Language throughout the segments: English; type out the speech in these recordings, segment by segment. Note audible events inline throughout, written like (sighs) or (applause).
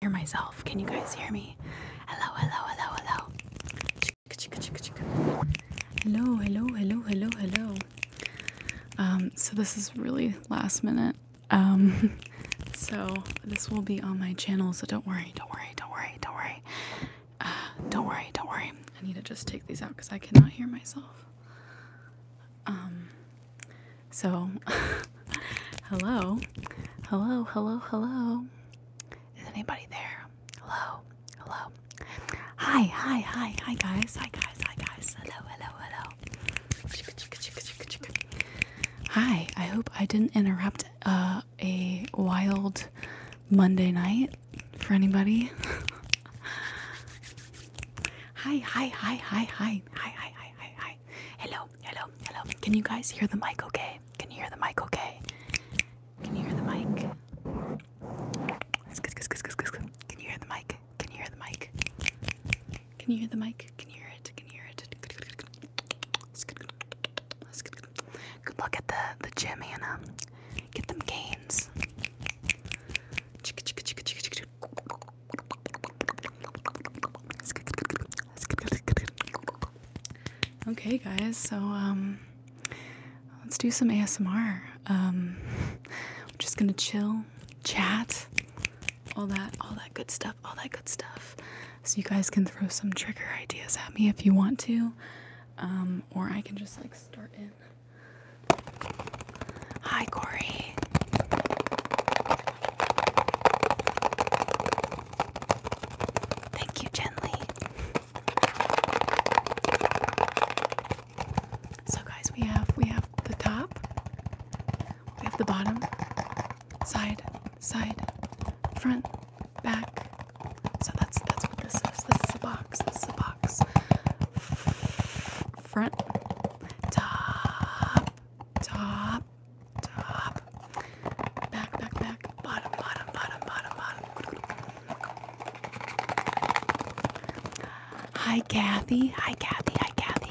hear myself. Can you guys hear me? Hello, hello, hello, hello. Hello, hello, hello, hello, hello. Um, so this is really last minute. Um, (laughs) so this will be on my channel, so don't worry, don't worry, don't worry, don't worry. Uh, don't worry, don't worry. I need to just take these out because I cannot hear myself. Um, so, (laughs) hello, hello, hello, hello. Is anybody there? Hello, hello. Hi, hi, hi, hi, guys. Hi, guys, hi, guys. Hello, hello, hello. Hi, I hope I didn't interrupt uh, a wild Monday night for anybody. (laughs) hi, hi, hi, hi, hi, hi, hi, hi, hi, hi, hi, Okay. Hello, hello, hello. Can you guys hear the mic okay? Can you hear the mic okay? Can you hear the mic? Can you hear the mic? Can you hear the mic? Can you hear the mic? Can you hear it? Can you hear it? Good look at the the gym, Hannah. Get them gains. Okay, guys, so um, let's do some ASMR. I'm um, just gonna chill, chat, all that, all that good stuff, all that good stuff. So you guys can throw some trigger ideas at me if you want to, um, or I can just like start in. Hi, Corey. Thank you, gently. So guys, we have we have the top, we have the bottom, side, side, front, back. So that's that's what this is. This is a box. This is a box. Front, top, top, top, back, back, back, bottom, bottom, bottom, bottom, bottom. Hi, Kathy. Hi, Kathy. Hi, Kathy.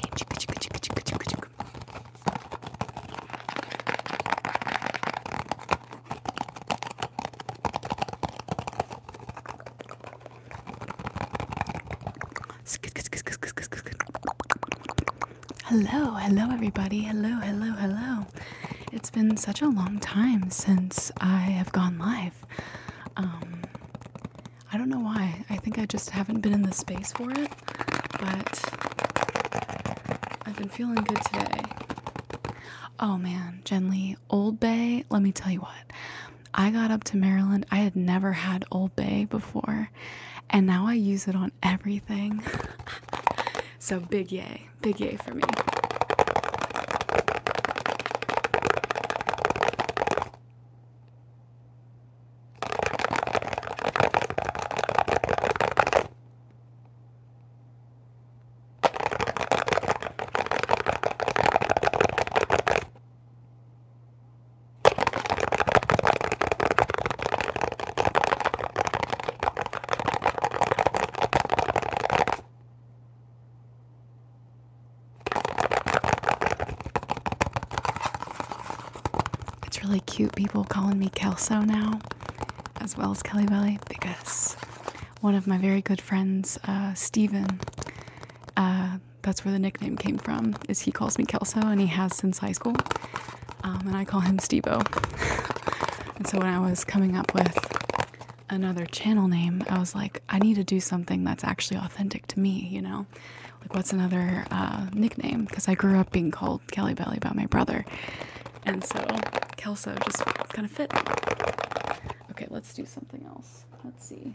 Hello, hello, everybody. Hello, hello, hello. It's been such a long time since I have gone live. Um, I don't know why. I think I just haven't been in the space for it, but I've been feeling good today. Oh man, Jen Lee, Old Bay, let me tell you what. I got up to Maryland. I had never had Old Bay before. And now I use it on everything. (laughs) so big yay. Big yay for me. It's really cute people calling me Kelso now, as well as Kelly Belly, because one of my very good friends, uh, Steven, uh, that's where the nickname came from, is he calls me Kelso and he has since high school. Um, and I call him Stevo. (laughs) and so when I was coming up with another channel name, I was like, I need to do something that's actually authentic to me, you know? Like, what's another uh, nickname? Because I grew up being called Kelly Belly by my brother. And so Kelso just kind of fit. Okay, let's do something else. Let's see.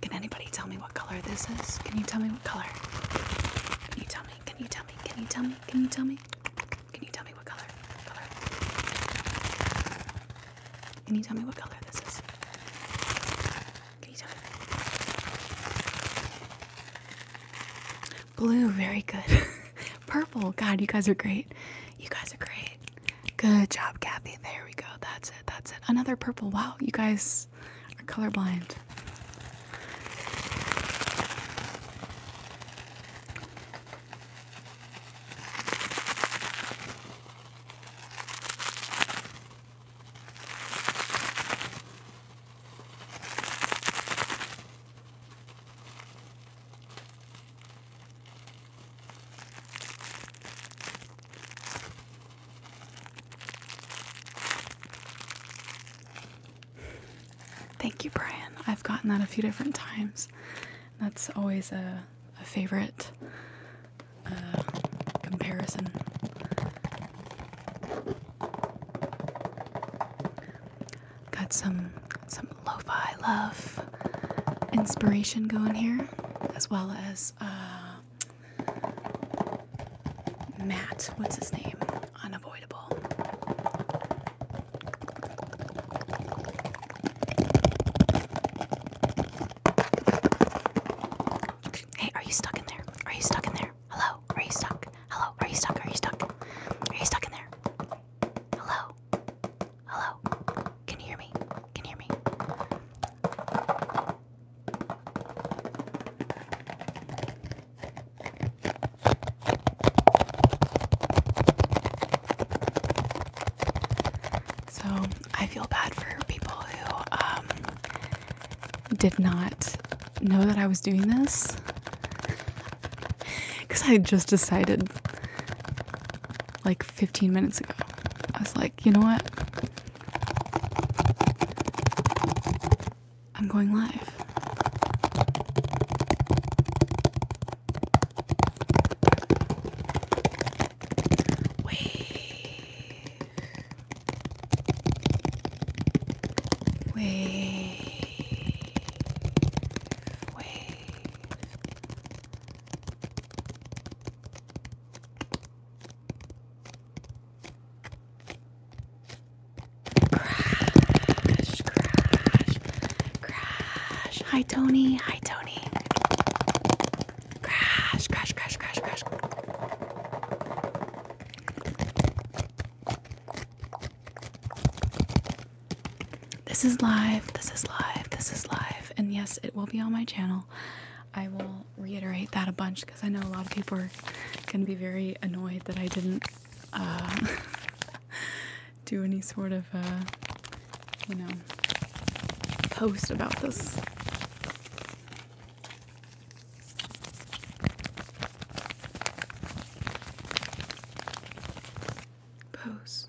Can anybody tell me what color this is? Can you tell me what color? Can you tell me? Can you tell me? Can you tell me? Can you tell me? Can you tell me what color? Can you tell me what color this is? Can you tell Blue, very good. (laughs) Purple. God, you guys are great. You guys are great. Good job, Kathy. There we go. That's it. That's it. Another purple. Wow, you guys are colorblind. Thank you, Brian. I've gotten that a few different times. That's always a, a favorite uh, comparison. Got some some lo-fi love inspiration going here, as well as uh, Matt, what's his name? Unavoidable. Hey, are you stuck in there? Are you stuck in there? Hello? Are you stuck? Hello? Are you stuck? Are you stuck? Are you stuck in there? Hello? Hello? Can you hear me? Can you hear me? So I feel bad for people who um, did not know that I was doing this because I just decided like 15 minutes ago. I was like, you know what? I'm going live. Wave. Wave. Wave. Crash, crash, crash. Hi, Tony. Hi, Tony. Crash, crash, crash, crash, crash. This is live. This is live. This is live. And yes, it will be on my channel. I will reiterate that a bunch because I know a lot of people are going to be very annoyed that I didn't uh, (laughs) do any sort of, uh, you know, post about this. Pose.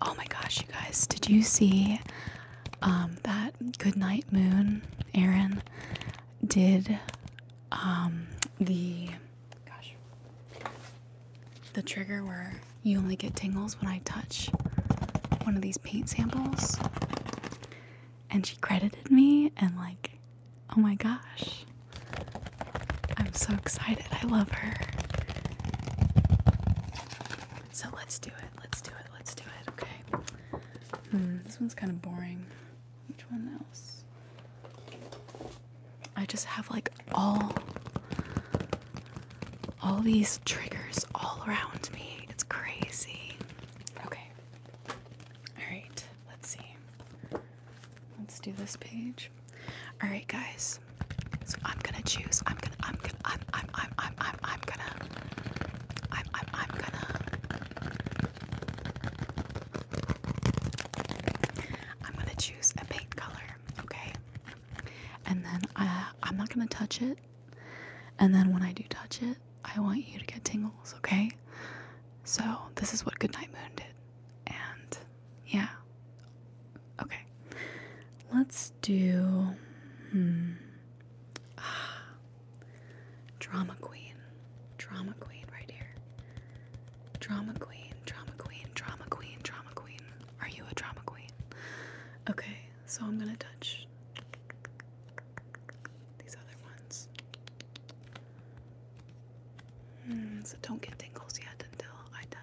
Oh my gosh, you guys, did you see um, that? Good night, Moon? Aaron did um, the the trigger where you only get tingles when I touch one of these paint samples, and she credited me and like, oh my gosh. I'm so excited. I love her. So let's do it. Let's do it. Let's do it. Okay. Hmm, this one's kind of boring. Which one else? I just have like all all these triggers all around me. It's crazy. Okay. All right. Let's see. Let's do this page. All right, guys. So I'm gonna choose. I'm gonna. I'm gonna. I'm. I'm. I'm. I'm. I'm. I'm gonna. I'm. I'm. I'm gonna. I'm gonna choose a paint color, okay? And then uh, I'm not gonna touch it. And then when I do touch it, I want you to get tingles, okay? So this is what Goodnight Moon did, and yeah, Okay. Let's do hmm. ah, drama queen. Drama queen right here. Drama queen, drama queen, drama queen, drama queen. Are you a drama queen? Okay, so I'm going to touch these other ones. Mm, so don't get tingles yet until I touch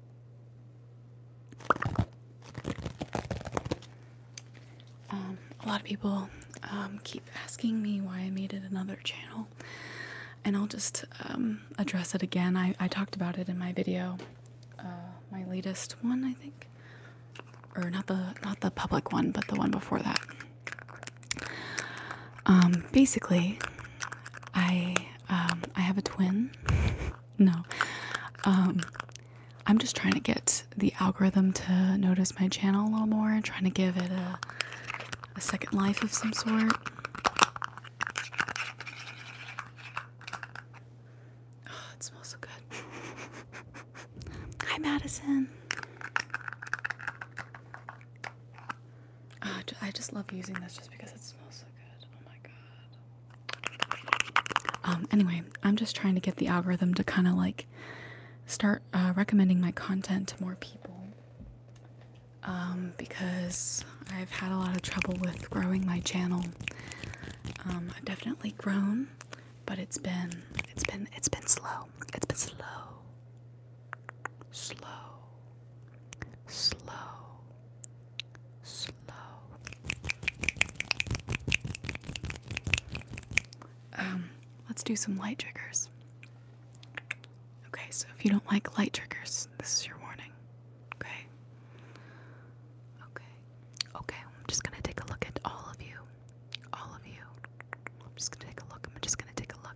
Um, a lot of people um, keep asking me why I made another channel, and I'll just um, address it again. I, talked about it in my video, uh, my latest one, I think, or not the not the public one, but the one before that. basically, I um, I have a twin. no, um, I'm just trying to get the algorithm to notice my channel a little more, trying to give it a a second life of some sort. Oh, it smells so good. Hi, Madison. Ah, I just love using this just because it smells so good. Oh my god. Um, anyway, I'm just trying to get the algorithm to kind of like start uh, recommending my content to more people. Um, because I've had a lot of trouble with growing my channel. Um, I've definitely grown, but it's been it's been it's been slow. It's been slow. Slow. Slow slow. Um, let's do some light triggers. Okay, so if you don't like light triggers, this is your warning. Okay. Okay. Okay, I'm just gonna take a look at all of you. All of you. I'm just gonna take a look. I'm just gonna take a look.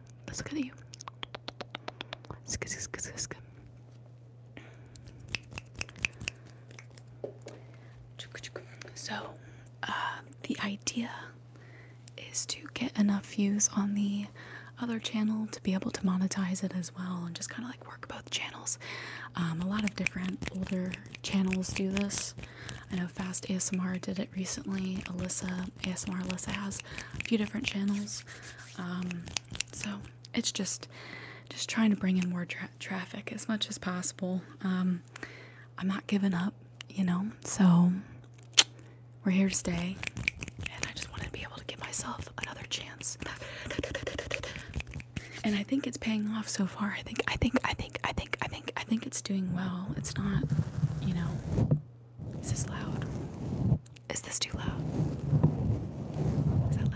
now. Let's look at you. So, uh, the idea is to get enough views on the other channel to be able to monetize it as well and just kind of like work both channels. Um, a lot of different older channels do this. I know Fast ASMR did it recently, Alyssa, um, ASMR Alyssa has a few different channels. Um, so it's just just trying to bring in more traffic as much as possible. Um, I'm not giving up, you know. So we're here to stay, and I just wanted to be able to give myself another chance. and I think it's paying off so far. I think I think I think I think I think I think it's doing well. It's not, you know, is this loud? Is this too loud? Is that loud?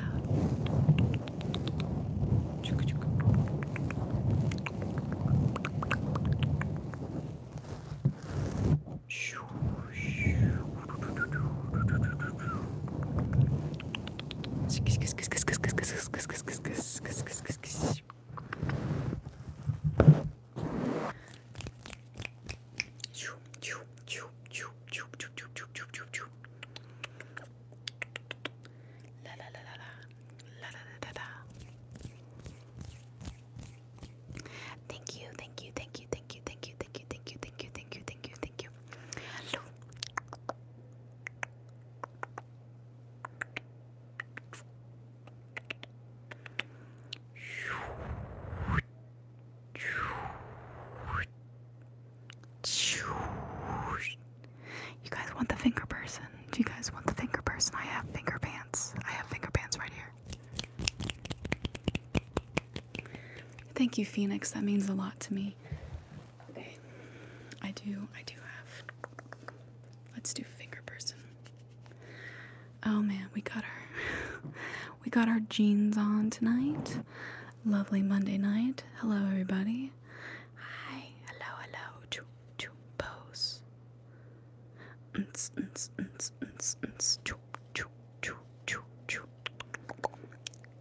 Thank you, thank you, thank you, thank you, thank you, thank you, thank you, thank you, thank you, thank you, thank you. Hello, you guys want the finger person? Do you guys want the finger person? I have finger pants. I have finger pants right here. Thank you, Phoenix. That means a lot to me. Okay. I do I do have. Let's do finger person. Oh man, we got our (laughs) we got our jeans on tonight. Lovely Monday night. Hello everybody. Hi, hello, hello to to pose.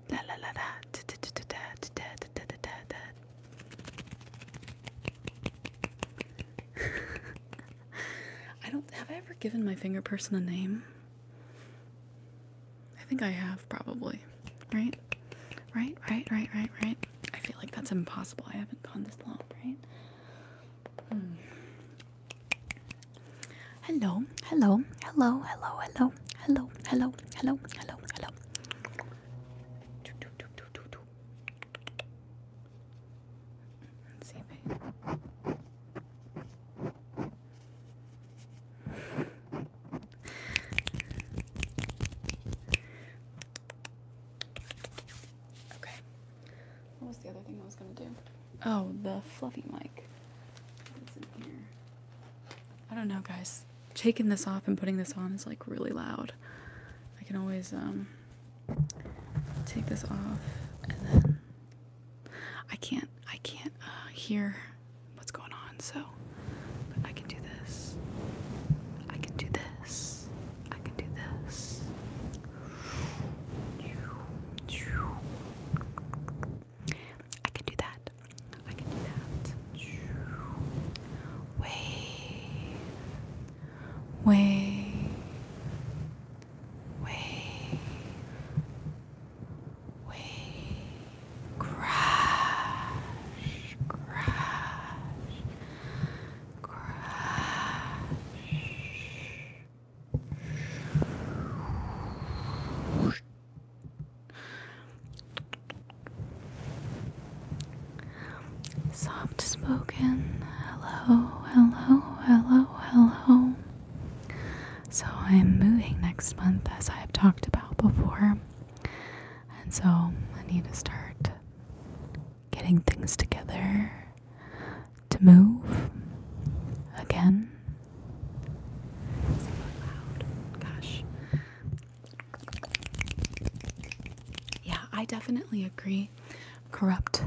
La la la la (laughs) I don't have I ever given my finger person a name. I think I have probably. Right? Right, right, right, right, right. I feel like that's impossible. I haven't gone this long, right? hello, hello, hello, hello, hello, hello, hello, hello, hello. Okay. What was the other thing I was gonna do? Oh, the fluffy mic. I don't know, guys. Taking this off and putting this on is like really loud. I can always um Take this off, and then I can't I can't uh, hear what's going on. So, I can do this. I can do this. I can do this. I can do that. I can do that. Wave wave, wave, wave, crash, crash, crash soft spoken. Hello, hello, hello, hello. So, I'm moving next month, as I have talked about before, and so I need to start getting things together to move again. Yeah, I definitely agree. Corrupt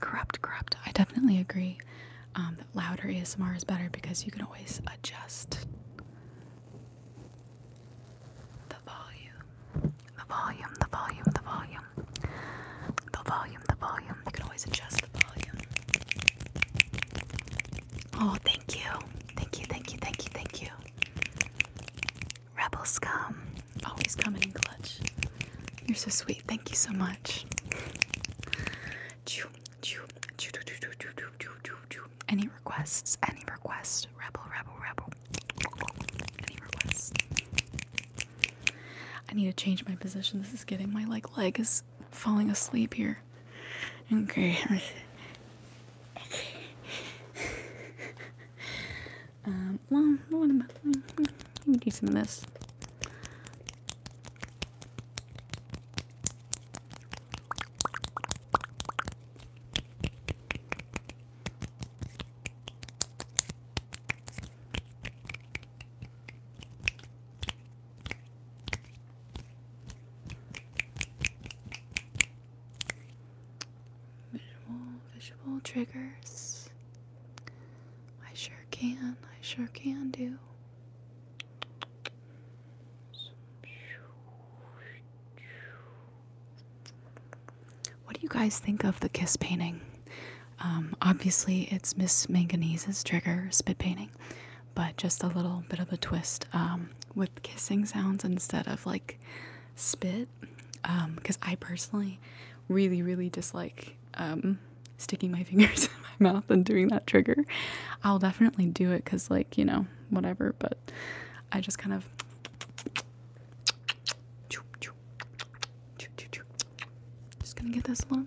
corrupt, corrupt. I definitely agree um, that louder ASMR is better because you can always adjust the volume, the volume, the volume, the volume, the volume, the volume. You can always adjust the volume. Oh, thank you, thank you, thank you, thank you, thank you. Rebels come, Always coming in clutch. You're so sweet. Thank you so much. Any requests? Any requests? Rebel, rebel, rebel. Any requests? I need to change my position. This is getting my like leg is falling asleep here. Okay. (laughs) Um, well, let me do some of this. Visual, visual triggers. I sure can. I sure can do. What do you guys think of the kiss painting? Um, obviously, it's Miss Manganese's trigger spit painting, but just a little bit of a twist um, with kissing sounds instead of like spit because um, I personally really, really dislike um, sticking my (laughs) fingers in my mouth and doing that trigger. I'll definitely do it because, like, you know, whatever, but I just kind of. Just gonna get this long.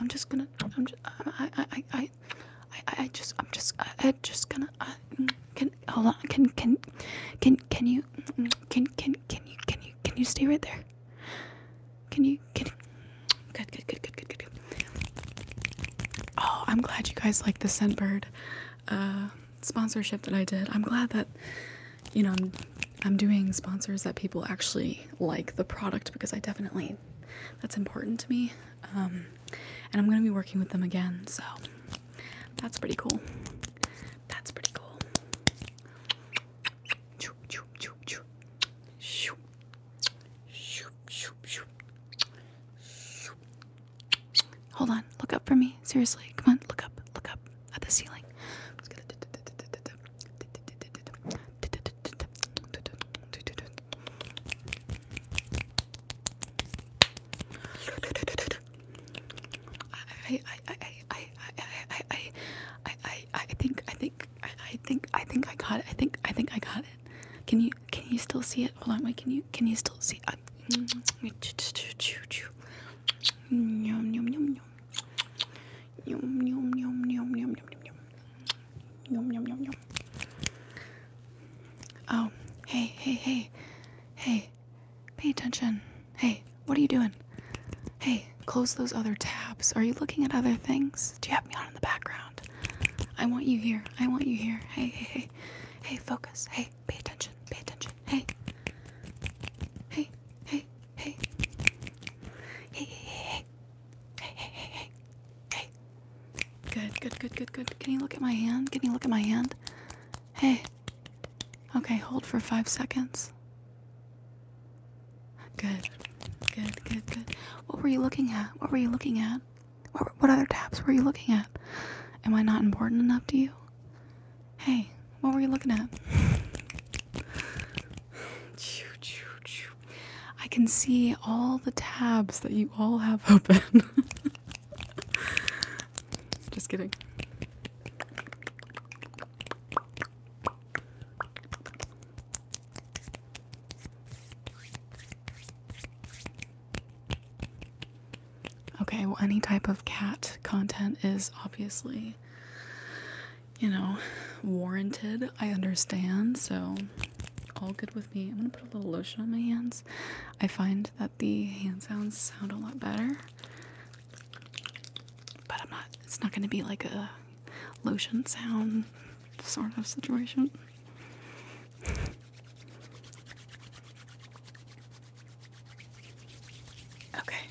I'm just gonna. I'm just. I. I. I. I. I just. I'm just. I, just gonna. Mm, can hold on. Can. Can. Can. Can you? Mm, can. Can. Can you? Can you? Can you stay right there? Can you? Can. Good. Good. Good. Good. Good. Good. Oh, I'm glad you guys like the scent bird uh, sponsorship that I did. I'm glad that you know, I'm, doing sponsors that people actually like the product because I definitely, that's important to me. Um, and I'm going to be working with them again. So that's pretty cool. That's pretty cool. Hold on, look up for me. Seriously, come on, look up, look up at the ceiling. I'm just going I I I I I I I think I think I think I think I got it. I think I think I got it. Can you can you still see it? Hold on, wait. Can you can you still see? Yum Yum yum yum yum yum yum yum yum yum yum Oh, hey, hey, hey, hey, pay attention. Hey, what are you doing? Hey, close those other tabs. Are you looking at other things? Do you have me on in the background? I want you here. I want you here. Hey, hey, hey. Hey, focus. Hey, pay attention. Pay attention. Hey. Hey, hey, Hey. Hey, hey, hey, hey. Hey, hey, hey, Good, good, good, good, good. Can you look at my hand? Can you look at my hand? Hey. Okay, hold for five seconds. Good. Good, good, good. What were you looking at? What were you looking at? what other tabs were you looking at? Am I not important enough to you? Hey, what were you looking at? I can see all the tabs that you all have (laughs) open. Just kidding. Okay, well, any type of cat content is obviously you know, warranted. I understand, so all good with me. I'm gonna put a little lotion on my hands. I find that the hand sounds sound a lot better, but I'm not, it's not gonna be like a lotion sound sort of situation. Okay.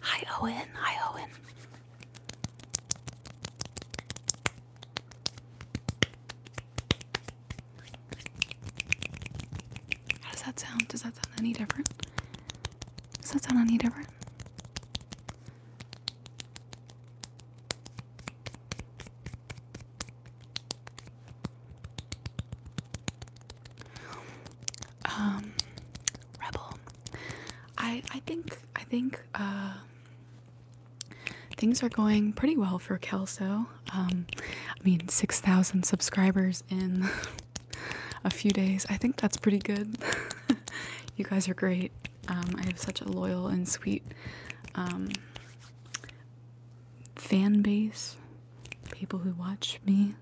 Hi, Owen. Hi, Owen. How does that sound? Does that sound any different? Does that sound any different? Um, Rebel. I I think I think uh, things are going pretty well for Kelso. Um, I mean, six thousand subscribers in (laughs) a few days. I think that's pretty good. (laughs) you guys are great. Um, I have such a loyal and sweet um, fan base people who watch me.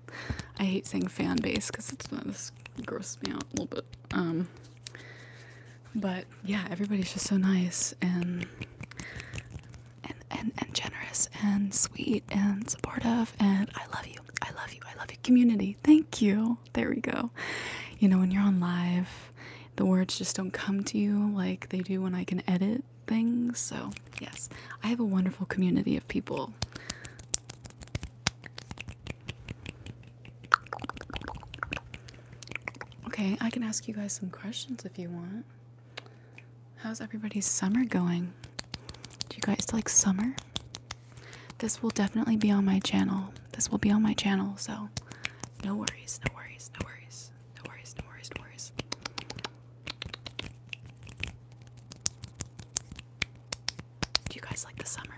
I hate saying fan base because it's this grosses me out a little bit. Um but yeah, everybody's just so nice and and and, and generous and sweet and supportive and I love you. I love you. I love you. Community. Thank you. There we go. You know, when you're on live, the words just don't come to you like they do when I can edit things. So, yes, I have a wonderful community of people Okay, I can ask you guys some questions if you want. How's everybody's summer going? Do you guys like summer? This will definitely be on my channel. This will be on my channel, so no worries, no worries, no worries, no worries, no worries, no worries. Do you guys like the summer?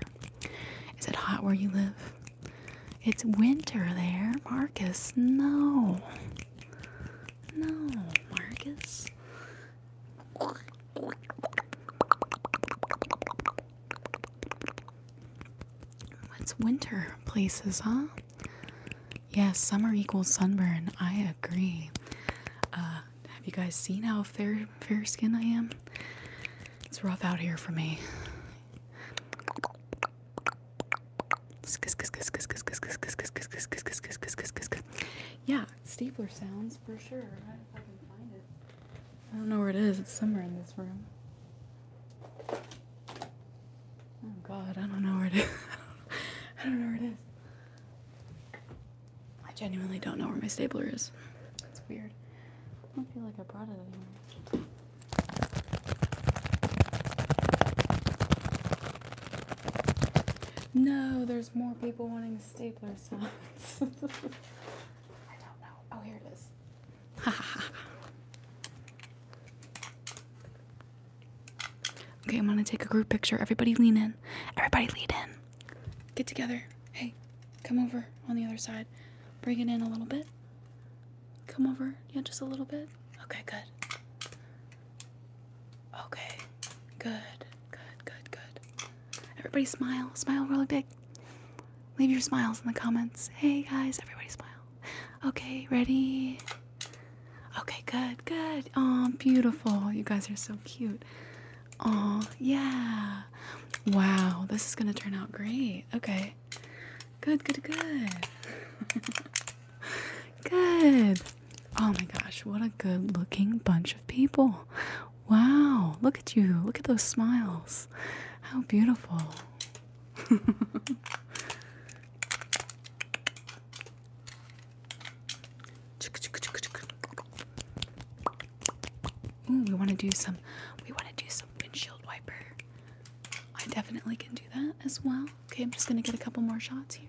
Is it hot where you live? It's winter there, Marcus. No. No, Marcus. What's winter places, huh? Yes, summer equals sunburn. I agree. Uh, have you guys seen how fair fair skin I am? It's rough out here for me. Yeah, stapler sounds for sure. I don't know where it is. It's somewhere in this room. Oh God, I don't know where it is. (laughs) I don't know where it is. I genuinely don't know where my stapler is. That's weird. I don't feel like I brought it anywhere. No, there's more people wanting stapler signs. (laughs) I don't know. Oh, here it is. (laughs) okay, I'm gonna take a group picture. Everybody lean in. Everybody lean in. Get together. Hey, come over on the other side. Bring it in a little bit. Come over. Yeah, just a little bit. Okay, good. Okay, good. Good, good, good. Everybody smile. Smile really big. Leave your smiles in the comments. Hey guys, everybody smile. Okay, ready? Okay, good, good. Oh, beautiful. You guys are so cute. Oh, yeah. Wow, this is going to turn out great. Okay. Good, good, good. (laughs) good. Oh my gosh, what a good looking bunch of people. Wow, look at you. Look at those smiles. How beautiful. (laughs) Ooh, we want to do some. We want to do some windshield wiper. I definitely can do that as well. Okay, I'm just gonna get a couple more shots here.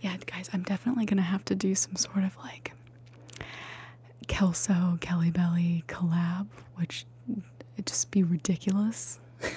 Yeah, guys, I'm definitely gonna have to do some sort of like Kelso Kelly Belly collab, which it'd just be ridiculous. (laughs)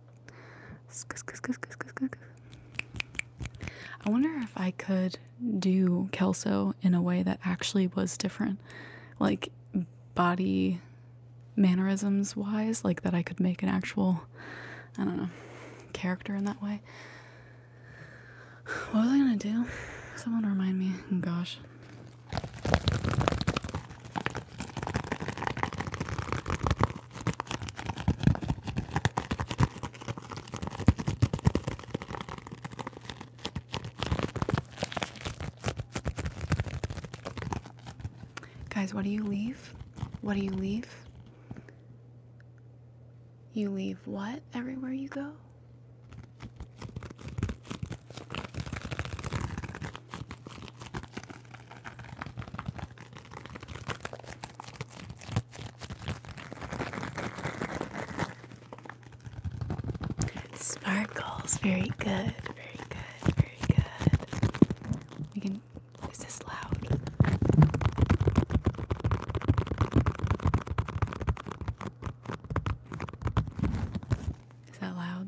I wonder if I could do Kelso in a way that actually was different, like body mannerisms wise, like that I could make an actual, I don't know, character in that way. What was I gonna do? Someone remind me. Oh, gosh. Guys, what do you leave? What do you leave? You leave what everywhere you go? Sparkles, very good, very good, very good. We can. Is this loud? Is that loud?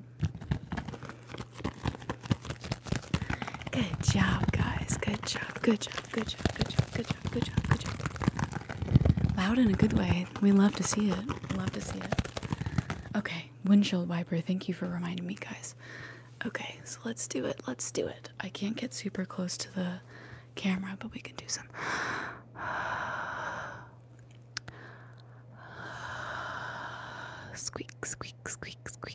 Good job, guys. Good job. Good job. Good job. Good job. Good job. Good job. Good job. Loud in a good way. We love to see it. Love to see it. Okay, windshield wiper. Thank you for reminding me, guys. Okay, so let's do it. Let's do it. I can't get super close to the camera, but we can do some. (sighs) Squeak, squeak, squeak, squeak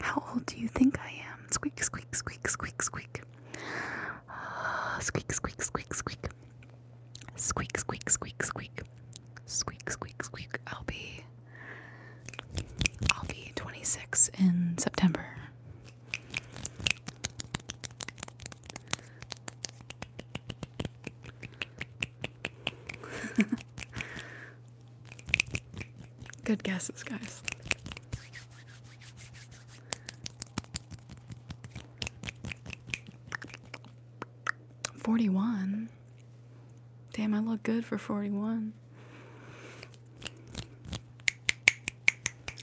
How old do you think I am? Squeak, squeak, squeak, squeak, squeak. Uh, squeak, squeak, squeak, squeak. Squeak, squeak, squeak, squeak. Squeak, squeak, squeak. I'll be. I'll be 26 in September. (laughs) Good guesses, guys. 41. Damn, I look good for 41.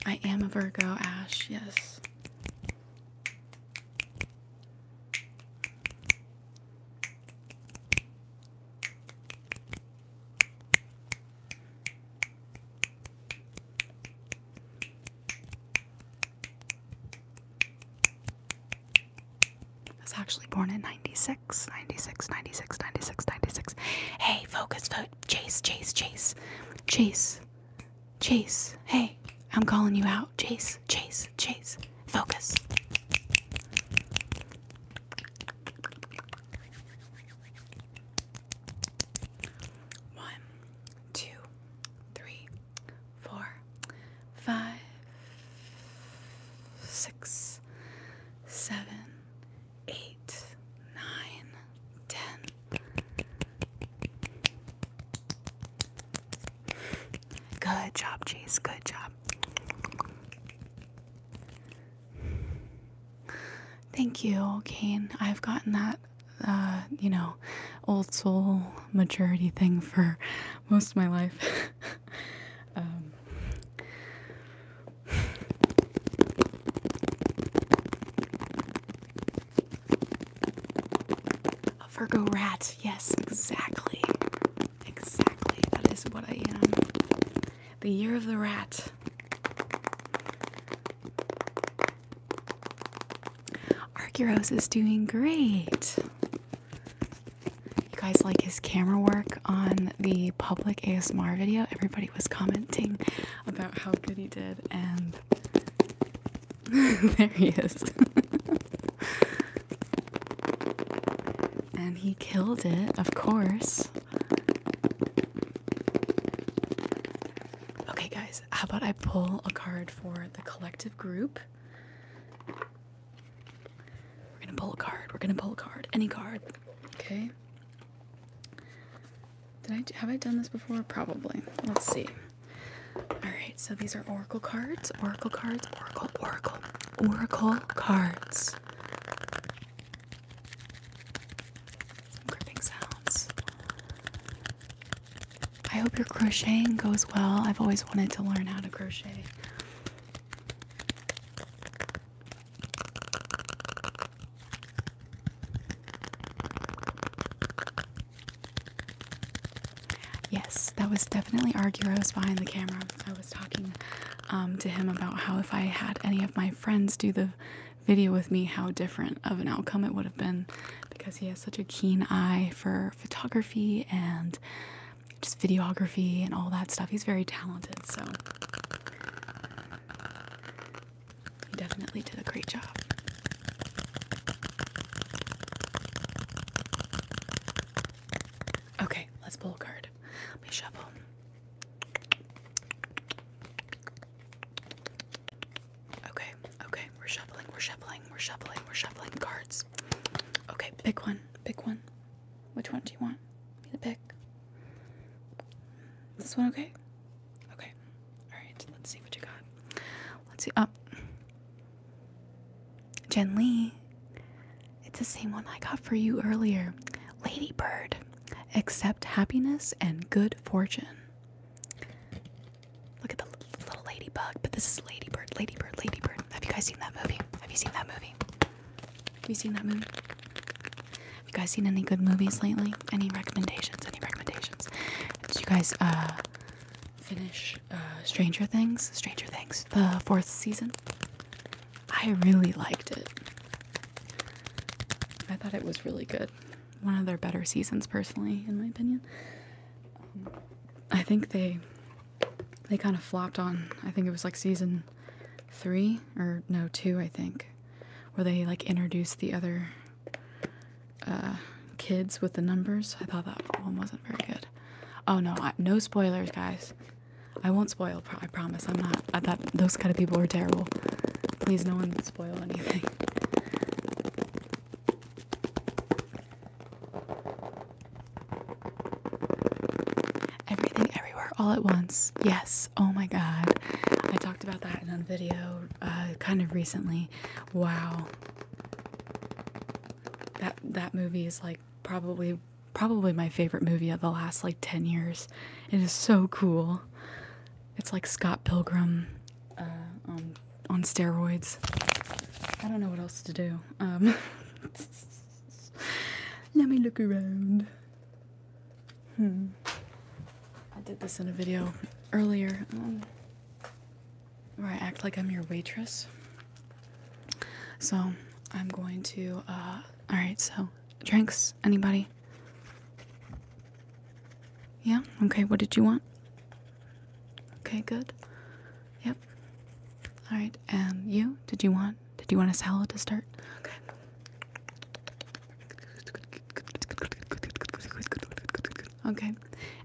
I am a Virgo, Ash, yes. I was actually born in 96, 96, 96, 96, 96. Hey, focus, vote. Chase, Chase, Chase. Chase, Chase. Hey, I'm calling you out. Chase, Chase, Chase. Focus. One, two, three, four, five, six, seven, eight, nine, ten. Good job, Chase. Good job. Thank you, Kane. I've gotten that, uh, you know, old soul maturity thing for most of my life. (laughs) Um, a Virgo rat. Yes, exactly. Exactly. That is what I am. The year of the rat. Argyros is doing great. You guys like his camera work on the public ASMR video? Everybody was commenting about how good he did, and (laughs) there he is. (laughs) and he killed it, of course. Okay, guys, how about I pull a card for the collective group? We're gonna pull a card. We're gonna pull a card. Any card. Okay. Did I have I done this before? Probably. Let's see. All right, so these are oracle cards. Oracle cards. Oracle. Oracle. Oracle cards some gripping sounds. I hope your crocheting goes well. I've always wanted to learn how to crochet. Yes, that was definitely Arguros behind the camera. I was talking um, to him about how if I had any of my friends do the video with me how different of an outcome it would have been because he has such a keen eye for photography and just videography and all that stuff. He's very talented, so he definitely did a great job. Okay, let's pull a card. Let me shuffle. Okay, okay, we're shuffling, we're shuffling, we're shuffling, we're shuffling cards. Okay, pick one, pick one. Which one do you want me to pick? this one okay? Okay, alright, let's see what you got. Let's see, up. Jen Lee, it's the same one I got for you earlier. Ladybird except happiness and good fortune. Look at the little ladybug, but this is Ladybird, Ladybird, Ladybird. Have you guys seen that movie? Have you seen that movie? Have you seen that movie? Have you guys seen any good movies lately? Any recommendations? Any recommendations? Did you guys uh, finish uh, Stranger Things? Stranger Things, the fourth season? I really liked it. I thought it was really good. One of their better seasons, personally, in my opinion. Um, I think they they kind of flopped on. I think it was like season three or no two, I think, where they like introduced the other uh, kids with the numbers. I thought that one wasn't very good. Oh no, no spoilers, guys. I won't spoil. I promise. I'm not. I, that those kind of people are terrible. Please, no one spoil anything. (laughs) Everything, everywhere, all at once. Yes. Oh my God. I talked about that in a video uh, kind of recently. Wow. That that movie is like probably probably my favorite movie of the last like 10 years. It is so cool. It's like Scott Pilgrim uh, on, steroids. I don't know what else to do. Um, (laughs) let me look around. Hmm. I did this in a video earlier um, where I act like I'm your waitress. So I'm going to, uh, alright, so drinks, anybody? Yeah? Okay, what did you want? Okay, good. Yep. Alright, and you? Did you want? Did you want a salad to start? Okay. Okay.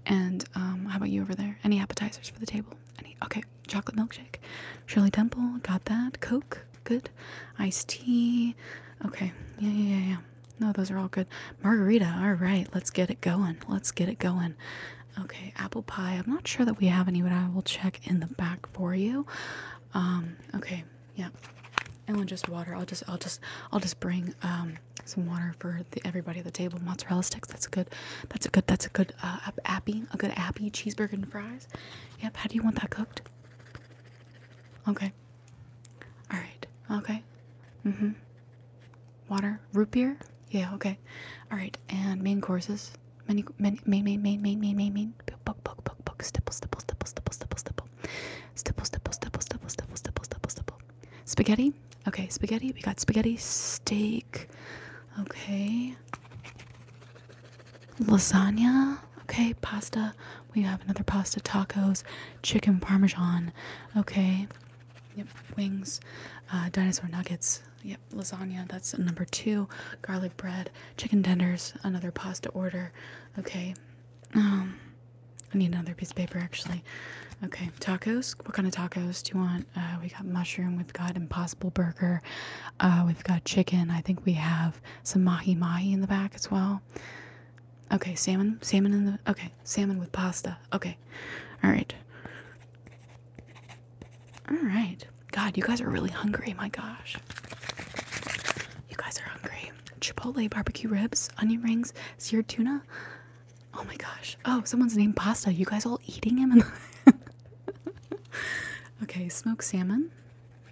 And um, how about you over there? Any appetizers for the table? Any? Okay. Chocolate milkshake. Shirley Temple, got that. Coke, good iced tea. Okay, yeah, yeah, yeah, No, those are all good. Margarita, all right, let's get it going. Let's get it going. Okay, apple pie. I'm not sure that we have any, but I will check in the back for you. Um, okay, yeah. And just water. I'll just, I'll just, I'll just bring um, some water for everybody at the table. Mozzarella sticks. That's a good. That's a good. That's a good. Uh, appy. A good appy cheeseburger and fries. Yep. How do you want that cooked? Okay. All right. Okay. Mm hmm. Water. Root beer? Yeah, okay. All right. And main courses. Many, many, main, main, main, main, main, main, main. Book, book, book, book. Stipple, stipple, stipple, stipple, stipple, stipple. Stipple, stipple, stipple, stipple, stipple, stipple, stipple, stipple. Spaghetti? Okay, spaghetti. We got spaghetti, steak. Okay lasagna. Okay, pasta. We have another pasta, tacos, chicken parmesan. Okay, yep, wings, uh, dinosaur nuggets. Yep, lasagna. That's number two. Garlic bread, chicken tenders. Another pasta order. Okay, um, I need another piece of paper actually. Okay, tacos. What kind of tacos do you want? Uh, we got mushroom. We've got impossible burger. Uh, we've got chicken. I think we have some mahi mahi in the back as well. Okay, salmon, salmon in the okay, salmon with pasta. Okay, all right, all right. God, you guys are really hungry. My gosh, you guys are hungry. Chipotle barbecue ribs, onion rings, seared tuna. Oh my gosh. Oh, someone's named Pasta. You guys all eating him? (laughs) okay, smoked salmon.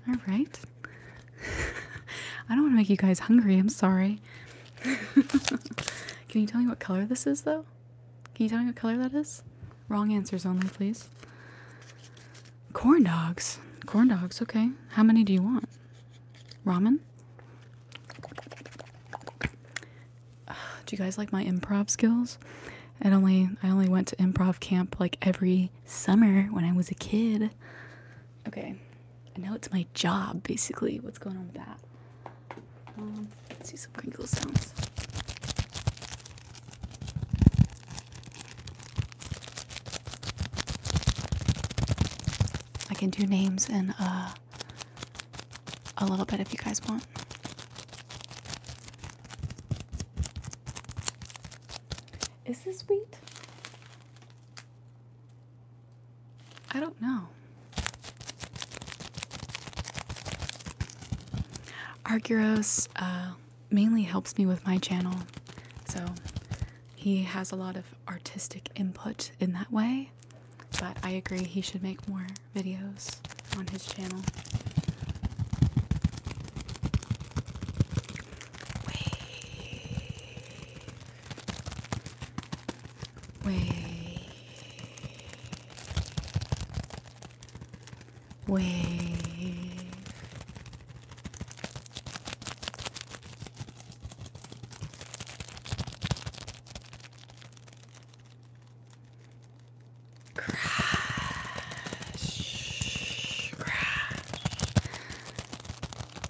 All right. (laughs) I don't want to make you guys hungry. I'm sorry. (laughs) Can you tell me what color this is, though? Can you tell me what color that is? Wrong answers only, please. Corn dogs. Corn dogs, okay. How many do you want? Ramen? do you guys like my improv skills? I only I only went to improv camp like every summer when I was a kid. Okay. now it's my job, basically. What's going on with that? Um, let's do some crinkle sounds. I can do names in uh, a little bit if you guys want. Is this wheat? I don't know. Argyros uh, mainly helps me with my channel, so he has a lot of artistic input in that way. But I agree, he should make more videos on his channel. Wave. Wave. Wave. Crash, crash,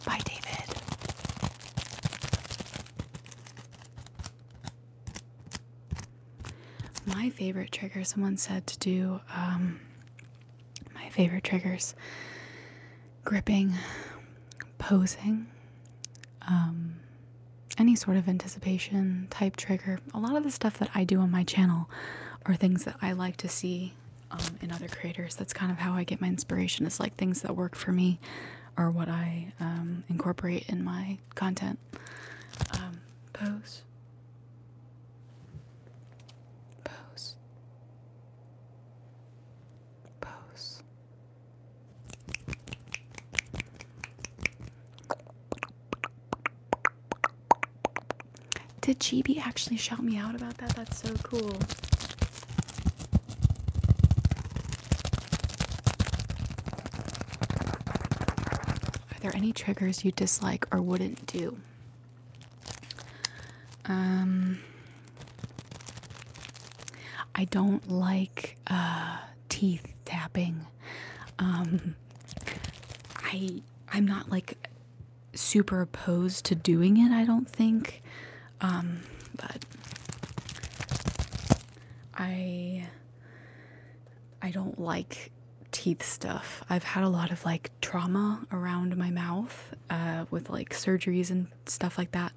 Bye, David. My favorite trigger, someone said to do um, my favorite triggers gripping, posing, um, any sort of anticipation type trigger. A lot of the stuff that I do on my channel are things that I like to see see um, in other creators. That's kind of how I get my inspiration. It's like things that work for me or what I um, incorporate in my content. Um, pose. Pose. Pose. Did GB actually shout me out about that? That's so cool. Are there any triggers you dislike or wouldn't do? Um, I don't like uh, teeth tapping. Um, I I'm not like super opposed to doing it, I don't think. Um, but I I don't like teeth stuff. I've had a lot of like trauma around my mouth uh, with like surgeries and stuff like that.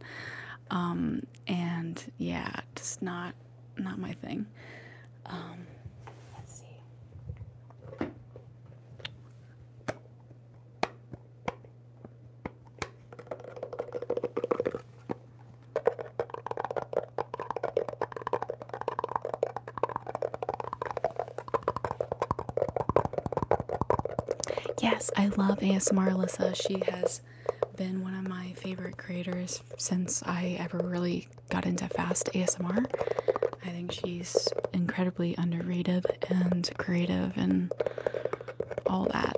Um, and yeah, just not not my thing. Um, let's see. Yes, I love ASMR Alyssa. She has been one of my favorite creators since I ever really got into fast ASMR. I think she's incredibly underrated and creative and all that.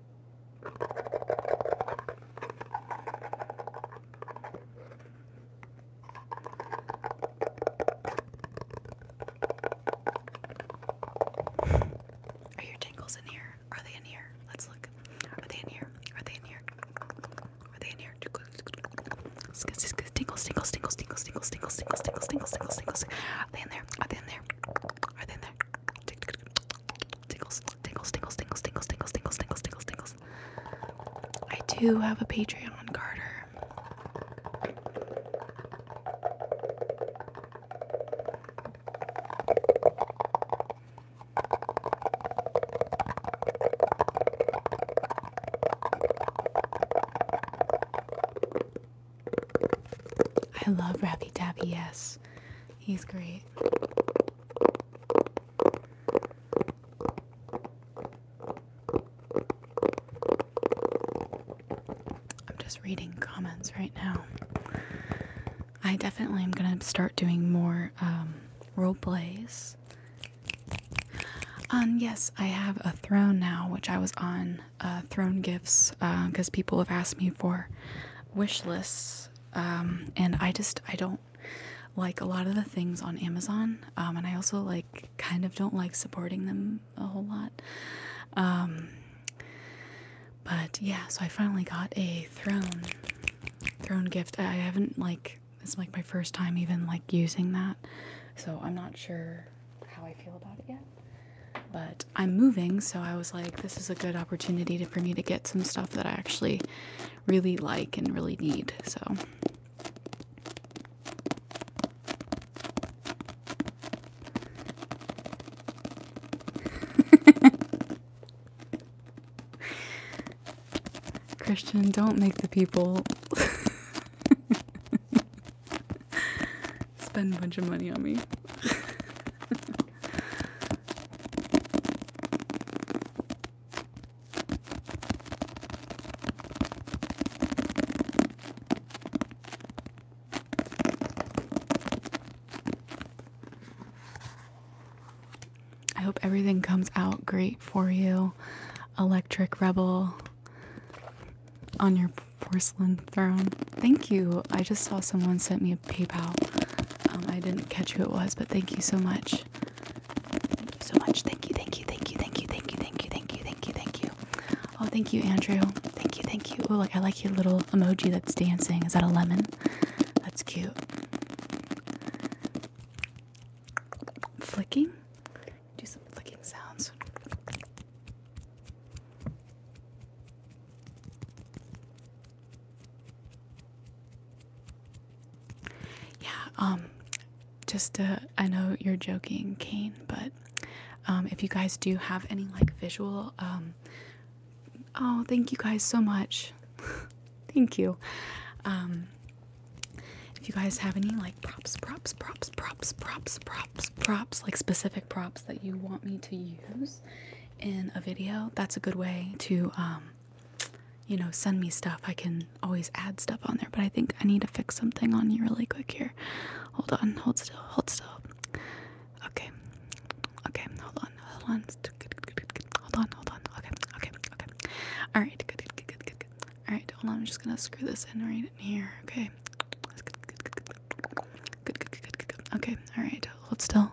Are your tingles in here? Are they in here? Let's look. Are they in here? Are they in here? Are they in here? Tingles, tingles, tingles, tingles, tingles, tingles, tingles, tingles, tingles, tingles, tingles. Are they in there? Are they in there? Are they in there? Tingles, tingles, tingles, tingles, tingles, tingles, tingles, tingles, tingles, tingles. I do have a Patreon, Carter. I love Rappy Tappy, yes. He's great. I'm just reading comments right now. I definitely am going to start doing more um, role plays. Um, yes, I have a throne now, which I was on uh, throne gifts because uh, people have asked me for wish lists, um, and I just I don't like a lot of the things on Amazon. Um, and I also like kind of don't like supporting them a whole lot. Um, but yeah, so I finally got a throne throne gift. I haven't like it's like my first time even like using that. So I'm not sure how I feel about it yet. But I'm moving, so I was like, this is a good opportunity for me to get some stuff that I actually really like and really need. So (laughs) Christian, don't make the people (laughs) spend a bunch of money on me. (laughs) I hope everything comes out great for you, Electric Rebel, on your porcelain throne. Thank you. I just saw someone sent me a PayPal um, I didn't catch who it was, but thank you so much. Thank you so much. Thank you, thank you, thank you, thank you, thank you, thank you, thank you, thank you, thank you. Oh, thank you, Andrew. Thank you, thank you. Oh, look, I like your little emoji that's dancing. Is that a lemon? That's cute. Flicking? Do some flicking sounds. Yeah, um, just uh, I know you're joking, Kane, but um, if you guys do have any like visual, um, oh, thank you guys so much. (laughs) thank you. Um, if you guys have any like props, props, props, props, props, props, props, like specific props that you want me to use in a video, that's a good way to um, you know, send me stuff. I can always add stuff on there, but I think I need to fix something on you really quick here. Hold on, hold still, hold still. Okay, okay, hold on, hold on, hold on, hold on. Okay, okay, okay. All right, good, good, good, good, good. All right, hold on. I'm just gonna screw this in right in here. Okay. Good, good, good, good, good. Okay. All right, hold still.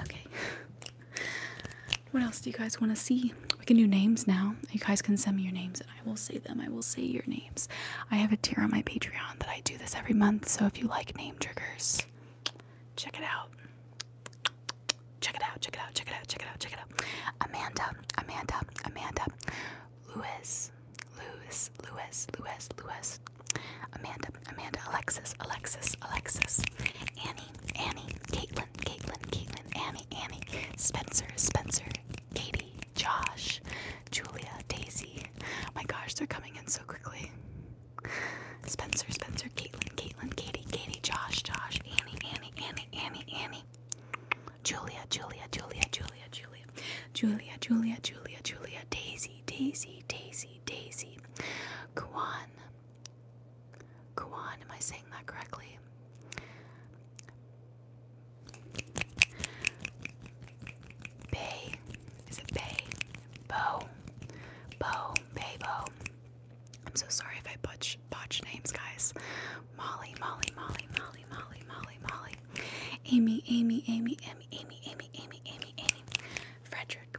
Okay. What else do you guys want to see? We can do names now. You guys can send me your names and I will say them. I will say your names. I have a tier on my Patreon that I do this every month, so if you like name triggers, check it out. Check it out, check it out, check it out, check it out, check it out. Amanda, Amanda, Amanda, Lewis, Lewis, Lewis, Lewis, Lewis, Amanda, Amanda, Alexis, Alexis, Alexis, Annie, Annie, Caitlin, Caitlin, Caitlin, Annie, Annie, Spencer, Spencer, Katie, Josh, Julia, Daisy. my gosh, they're coming in so quickly. Spencer, Spencer, Caitlin, Caitlin, Katie, Katie, Josh, Josh, Annie, Annie, Annie, Annie, Annie, Julia, Julia, Julia, Julia, Julia, Julia, Julia, Julia, Julia, Daisy, Daisy, Daisy. Daisy, Daisy, Kwan, Kwan. Am I saying that correctly? Bay, is it Bay? Bo, Bo, Bay I'm so sorry if I butch botch names, guys. Molly, Molly, Molly, Molly, Molly, Molly, Molly. Amy, Amy, Amy, Amy, Amy, Amy, Amy, Amy. Frederick,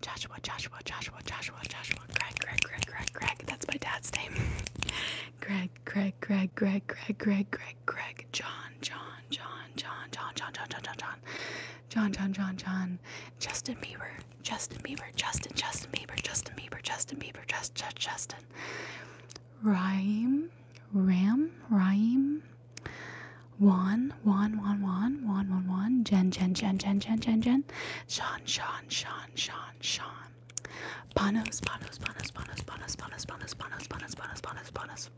Joshua, Joshua, Joshua, Joshua, Joshua, Greg, Greg, Greg, Greg, Greg. That's my dad's name. Greg, Greg, Greg, Greg, Greg, Greg, Greg, Greg, John, John, John, John, John, John, John, John, John, John, John, John, John, John, Justin Bieber, Justin Bieber, Justin, Justin Bieber, Justin Bieber, Justin Bieber, just, just, Justin. Rhyme, Ram, Rhyme, Juan, Juan, Juan, Juan, Juan, Juan, Juan, Jen, Jen, Jen, Jen, Jen, Jen, Jen, Sean, Sean, Sean, Sean, Sean, Panos, Panos, Panos, Panos, Panos, Panos, Panos, Panos, Panos, Panos, Panos, Panos.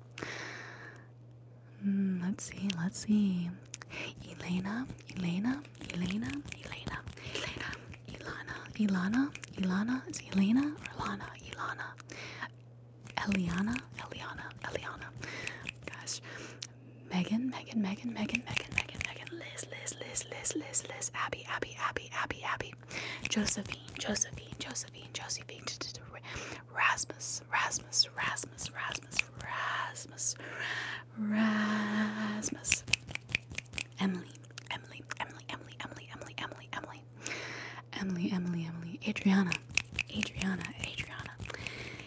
Let's see, let's see. Elena, Elena, Elena, Elena, Elena, Ilana, Ilana, Ilana, is Elena or Lana, Ilana. Eliana, Eliana, Eliana. Gosh. Megan, Megan, Megan, Megan, Megan, Megan, Megan, Liz, Liz, Liz, Liz, Liz, Liz, Abby, Abby, Abby, Abby, Abby, Josephine, Josephine, Josephine, Josephine, Rasmus, Rasmus, Rasmus, Rasmus, Rasmus, Rasmus, Emily, Emily, Emily, Emily, Emily, Emily, Emily, Emily, Emily, Emily, Emily, Adriana, Adriana, Adriana,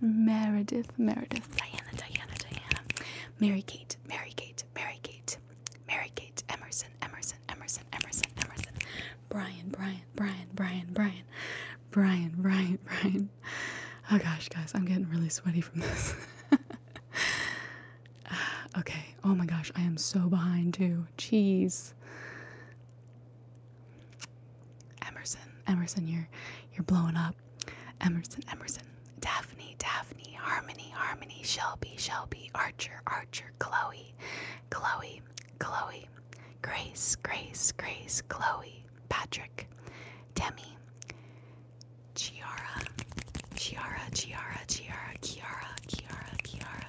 Meredith, Meredith, Diana, Diana, Diana, Mary Kate, Mary Kate, Mary Kate, Mary Kate, Emerson, Emerson, Emerson, Emerson, Emerson, Brian, Brian, Brian, Brian, Brian, Brian, Brian, Brian. Oh gosh, guys, I'm getting really sweaty from this. (laughs) okay. Oh my gosh, I am so behind too. Cheese. Emerson, Emerson, you're you're blowing up. Emerson, Emerson, Daphne, Daphne, Harmony, Harmony, Shelby, Shelby, Archer, Archer, Chloe, Chloe, Chloe, Grace, Grace, Grace, Chloe, Patrick, Demi, Chiara, Chiara, Chiara, Chiara, Chiara, Chiara, Chiara,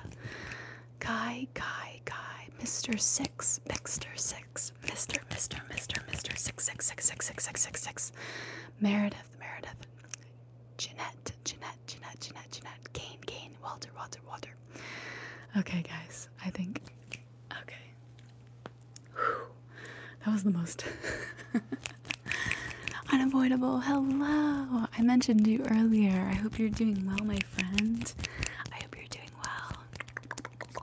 Kai, Kai, Kai, Mr. Six, Mixter Six. Mr. Mr. Mr. Mr. Mr. Six six six six six six six six. Meredith, Meredith, Jeanette, Jeanette, Jeanette, Jeanette, Jeanette, Kane, Kane, Walter, Walter, Walter. Okay, guys, I think. Okay. Whew. That was the most (laughs) unavoidable. Hello! I mentioned you earlier. I hope you're doing well, my friend. I hope you're doing well.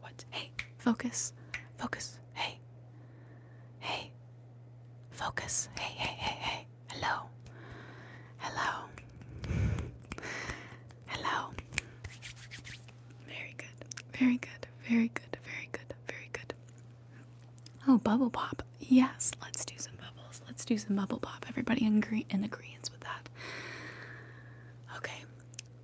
What? Hey, focus. Focus. Hey. Hey. Focus. Hey, hey, hey, hey. Hello. Hello. Hello. Very good. Very good. Very good. Very good. Very good. Oh, bubble pop. Yes, let's do some bubbles. Let's do some bubble pop. Everybody in agree in agreement with that. Okay.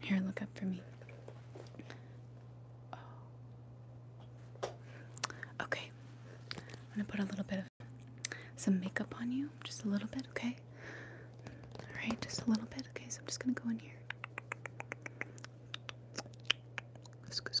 Here, look up for me. Okay. I'm gonna put a little bit of some makeup on you, just a little bit, okay? Alright, just a little bit. Okay, so I'm just gonna go in here. Squish,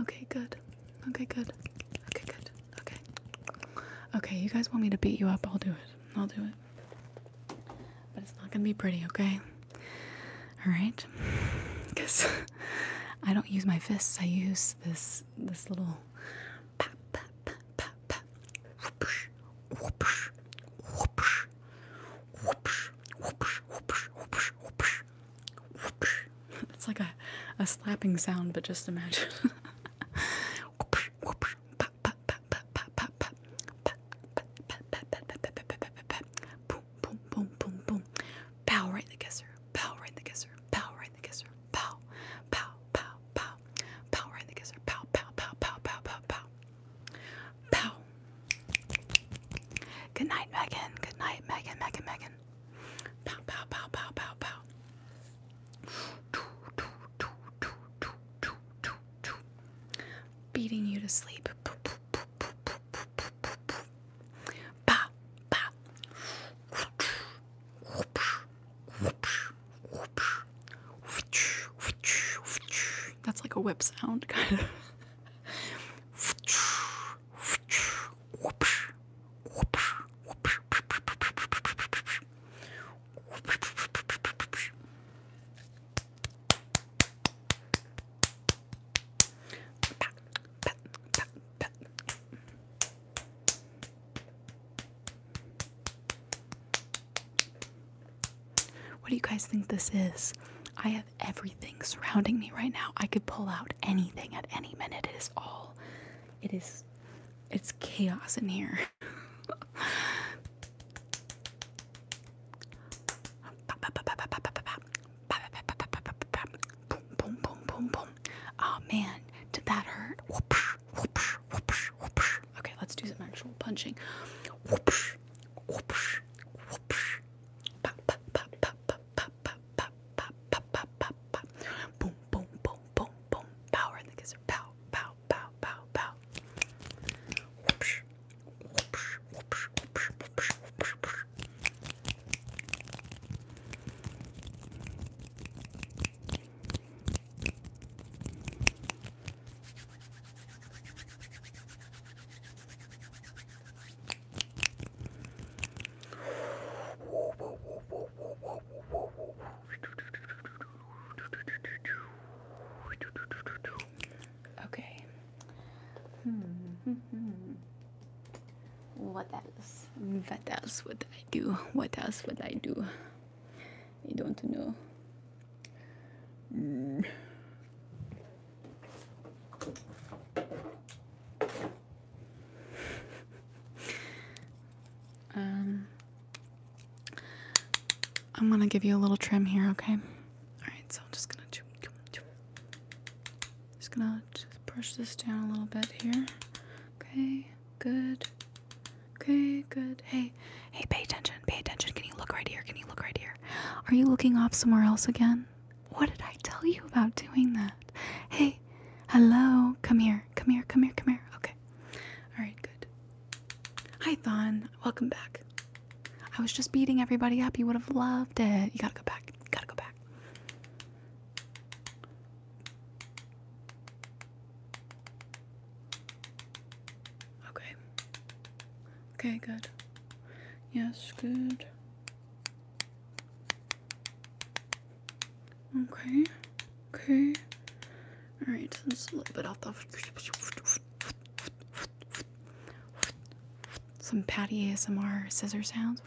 Okay, good. Okay, good. Okay, good. Okay. Okay, you guys want me to beat you up? I'll do it. I'll do it. But it's not gonna be pretty, okay? Alright? Because (laughs) (laughs) I don't use my fists, I use this this little (laughs) It's like a, a slapping sound, but just imagine. Pow right in the kisser. Pow right in the kisser. Pow right in the kisser. Pow. Pow, pow, pow. Pow right in the kisser. Pow, pow, pow, pow, pow, pow, pow. Pow. Good night, Megan. Good night, Megan, Megan, Megan. Pow, pow, pow, pow, pow, pow. Beating you to sleep. Ba, ba. That's like a whip sound, kind of. What do you guys think this is? I have everything surrounding me right now. I could pull out anything at any minute. It is all it is it's chaos in here. boom Oh man, did that hurt? Whoopsh, whoopsh, whoopsh, whoopsh. Okay, let's do some actual punching. Whoopsh, whoopsh, whoopsh. Pa, pop, pop, pop, pop, pop, pop, pop, pop, boom, boom, boom, boom, boom, power in the kisser, pow, pow, pow, pow, pow. Whoopsh, whoopsh, whoopsh, whoopsh, whoopsh, whoopsh, whoopsh. Okay. Hmm. What else? What else would I do? What else would I do? I don't know. Hmm um, I'm gonna give you a little trim here, okay? Alright, so I'm just gonna just gonna just this down a little bit here. Okay, good. Okay, good. Hey, hey, pay attention, pay attention. Can you look right here? Can you look right here? Are you looking off somewhere else again? What did I tell you about doing that? Hey, hello. Come here. Come here. Come here. Come here. Okay. All right, good. Hi, Thon. Welcome back. I was just beating everybody up. You would have loved it. You gotta go back. You gotta go back. Okay. Okay, good. Yes, good. Okay. Okay. All right. Just a little bit off the. Some patty ASMR scissor sounds.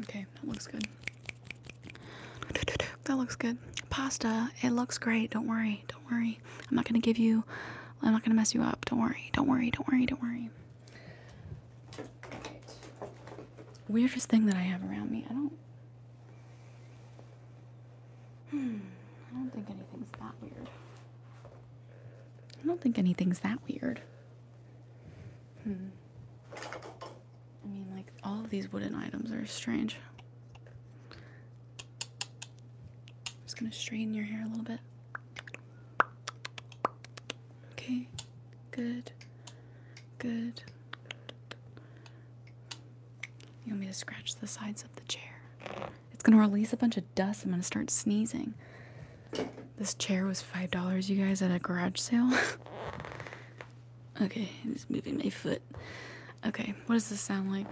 Okay, that looks good. That looks good. Pasta, it looks great. Don't worry. Don't worry. I'm not gonna give you. I'm not gonna mess you up. Don't worry. Don't worry. Don't worry. Don't worry. Weirdest thing that I have around me. I don't. Hmm, I don't think anything's that weird. I don't think anything's that weird. Hmm. I mean, like all of these wooden items are strange just gonna straighten your hair a little bit. Okay, good, good. You want me to scratch the sides of the chair? It's gonna release a bunch of dust. I'm gonna start sneezing. This chair was $5, you guys, at a garage sale. (laughs) okay, i just moving my foot. Okay, what does this sound like?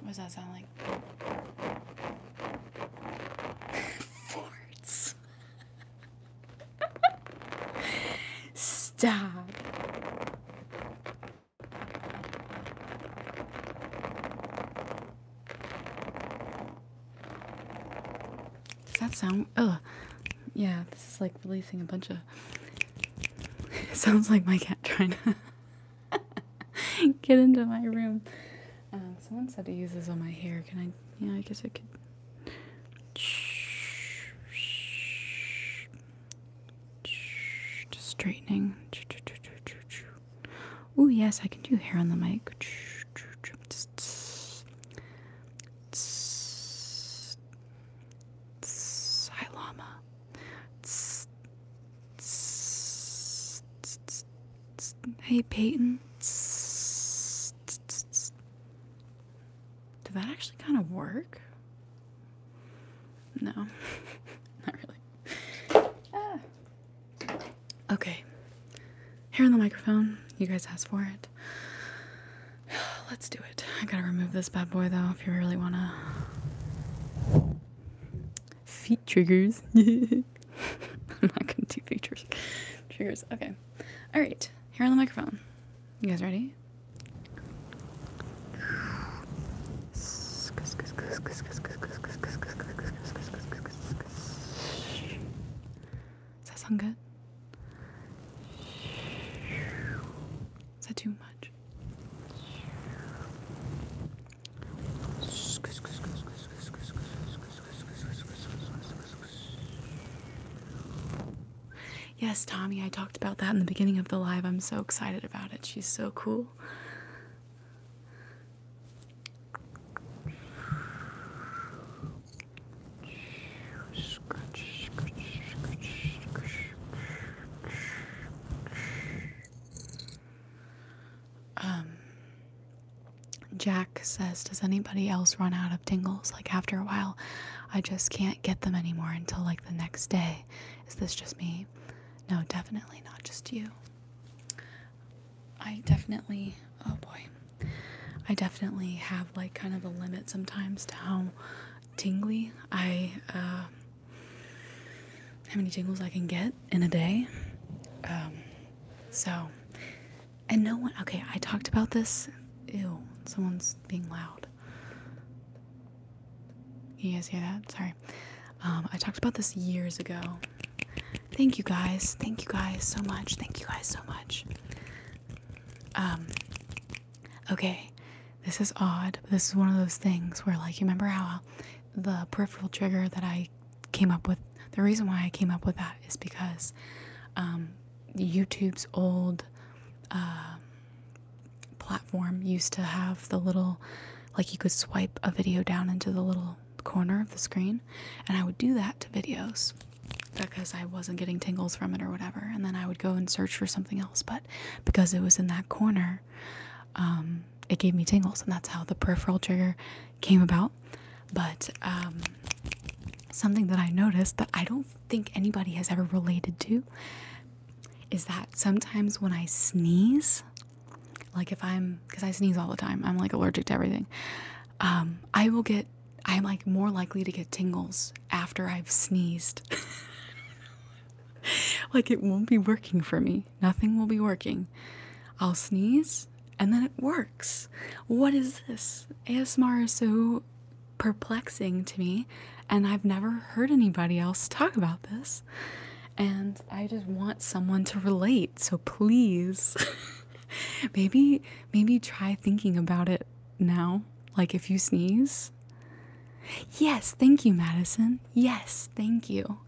What does that sound like? (laughs) Farts. (laughs) Stop. Does that sound? Oh, Yeah, this is like releasing a bunch of. (laughs) sounds like my cat trying to (laughs) get into my room. Um, someone said to use this on my hair. Can I? Yeah, I guess I could. Just straightening. Oh yes, I can do hair on the mic. Hi llama. Hey Peyton. Does that actually kind of work? No, (laughs) not really. Ah. Okay. Here on the microphone. You guys asked for it. (sighs) Let's do it. I gotta remove this bad boy though if you really wanna. Feet triggers. (laughs) I'm not gonna do feet triggers. triggers. Okay. Alright. Here on the microphone. You guys ready? Does that sound good? Is that too much? Yes, Tommy, I talked about that in the beginning of the live. I'm so excited about it. She's so cool. Um, Jack says, Does anybody else run out of tingles? Like, after a while, I just can't get them anymore until like the next day. Is this just me? No, definitely not just you. I definitely, oh boy, I definitely have like kind of a limit sometimes to how tingly I, uh, how many tingles I can get in a day. Um, so, and no one, okay, I talked about this. Ew, someone's being loud. You guys hear that? Sorry. Um, I talked about this years ago Thank you guys. Thank you guys so much. Thank you guys so much. Um okay. This is odd. This is one of those things where like you remember how the peripheral trigger that I came up with the reason why I came up with that is because um, YouTube's old uh, platform used to have the little like you could swipe a video down into the little corner of the screen, and I would do that to videos because I wasn't getting tingles from it or whatever, and then I would go and search for something else. But because it was in that corner, um, it gave me tingles, and that's how the peripheral trigger came about. But um, something that I noticed that I don't think anybody has ever related to is that sometimes when I sneeze, like if I'm, because I sneeze all the time, I'm like allergic to everything. Um, I will get, I'm like more likely to get tingles after I've sneezed. (laughs) like it won't be working for me. Nothing will be working. I'll sneeze and then it works. What is this? ASMR is so perplexing to me, and I've never heard anybody else talk about this. And I just want someone to relate. So please (laughs) maybe maybe try thinking about it now. Like if you sneeze. Yes, thank you, Madison. Yes, thank you.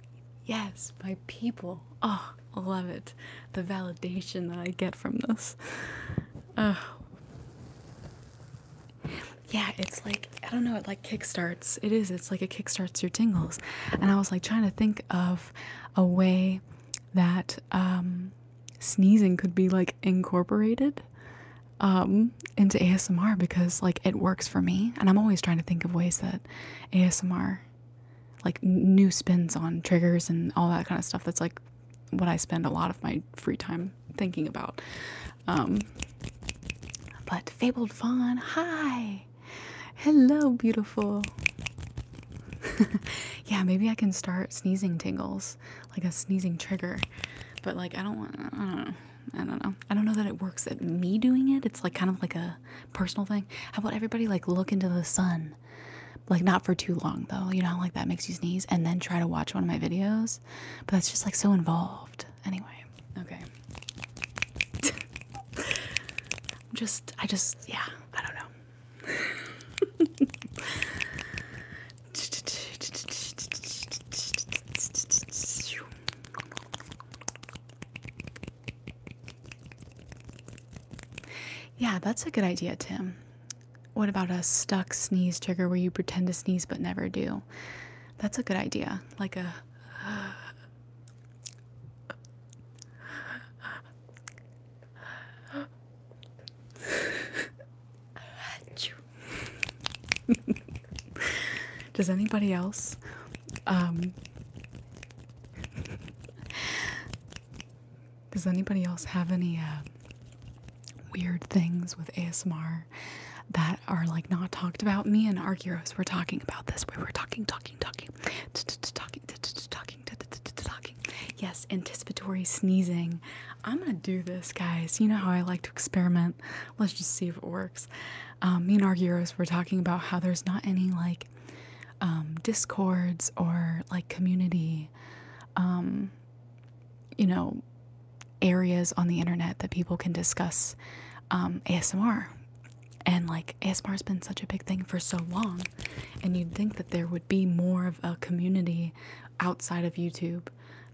Yes, my people. Oh, love it. The validation that I get from this. Oh. Yeah, it's like I don't know, it like kickstarted it is it's like it kickstarts your tingles and i was like trying to think of a way that um, sneezing could be like incorporated um, into asmr because like it works for me and i'm always trying to think of ways that asmr like new spins on triggers and all that kind of stuff that's like what i spend a lot of my free time thinking about um, but fabled fawn hi Hello, beautiful. (laughs) yeah, maybe I can start sneezing tingles, like a sneezing trigger. But like, I don't want. I don't know. I don't know. I don't know that it works at me doing it. It's like kind of like a personal thing. How about everybody like look into the sun, like not for too long though. You know, like that makes you sneeze, and then try to watch one of my videos. But that's just like so involved. Anyway, Okay. (laughs) just, I just, yeah, I don't know. Yeah, that's a good idea, Tim. What about a stuck sneeze trigger where you pretend to sneeze but never do? That's a good idea. Like a. (laughs) Does anybody else um Does anybody else have any uh, weird things with ASMR that are like not talked about? Me and Argyros were talking about this. We were talking talking talking, talking, talking, talking, talking. Yes, anticipatory sneezing. I'm gonna do this, guys. You know how I like to experiment. Let's just see if it works. Um, me and our heroes were talking about how there's not any like um, discords or like community, um, you know, areas on the internet that people can discuss ASMR and like ASMR's been such a big thing for so long and you'd think that there would be more of a community outside of YouTube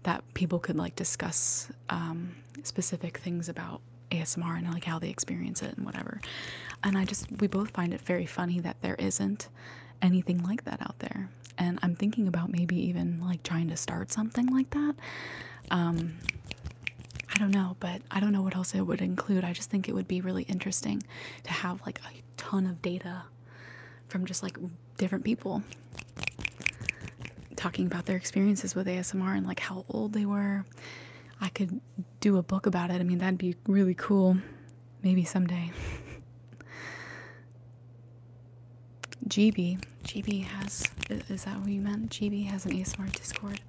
that people could like discuss um, specific things about ASMR and like how they experience it and whatever. And I just we both find it very funny that there isn't anything like that out there. And I'm thinking about maybe even like trying to start something like that. Um, I don't know, but I don't know what else it would include. I just think it would be really interesting to have like a ton of data from just like different people talking about their experiences with ASMR and like how old they were. I could do a book about it. I mean, that'd be really cool. Maybe someday. GB. GB has, is that what you meant? GB has an ASMR Discord.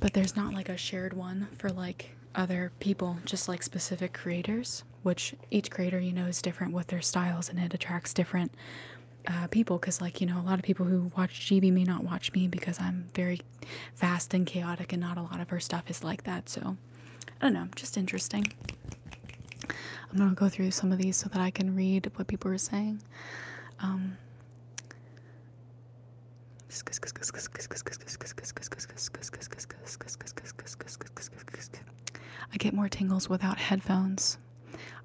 But there's not like a shared one for like other people, just like specific creators, which each creator, you know, is different with their styles and it attracts different uh, people because, like, you know, a lot of people who watch GB may not watch me because I'm very fast and chaotic and not a lot of her stuff is like that. So I don't know, just interesting. I'm gonna go through some of these so that I can read what people are saying. Um, I get more tingles without headphones.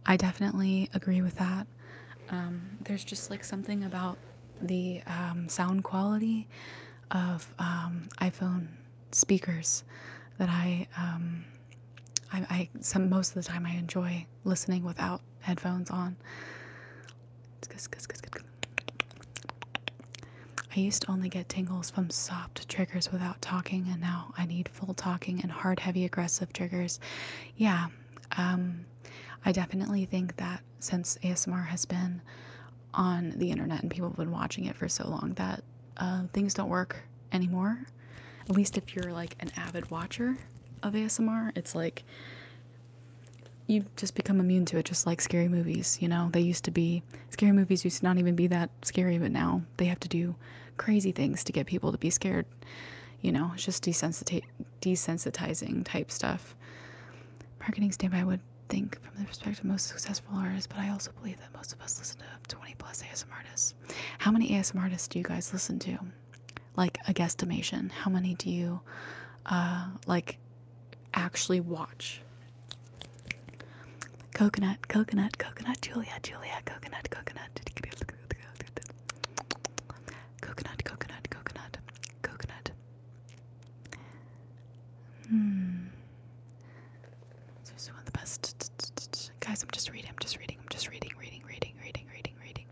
I definitely agree with that. Um, there's just like something about the um, sound quality of um, iPhone speakers that I I, some most of the time I enjoy listening without headphones on. I used to only get tingles from soft triggers without talking, and now I need full talking and hard, heavy, aggressive triggers. Yeah, um, I definitely think that since ASMR has been on the internet and people have been watching it for so long, that uh, things don't work anymore at least if you're like an avid watcher of ASMR, it's like you just become immune to it, just like scary movies. You know, they used to be scary movies used to not even be that scary, but now they have to do crazy things to get people to be scared. You know, it's just desensitizing type stuff. Marketing standby would think from the perspective most successful artists, but I also believe that most of us listen to 20 plus ASMR artists. How many ASMR artists do you guys listen to? like a guesstimation how many do you uh, like actually watch coconut coconut coconut julia julia coconut coconut coconut coconut coconut coconut hmm this is one of the best guys i'm just reading i'm just reading i'm just reading reading reading reading reading reading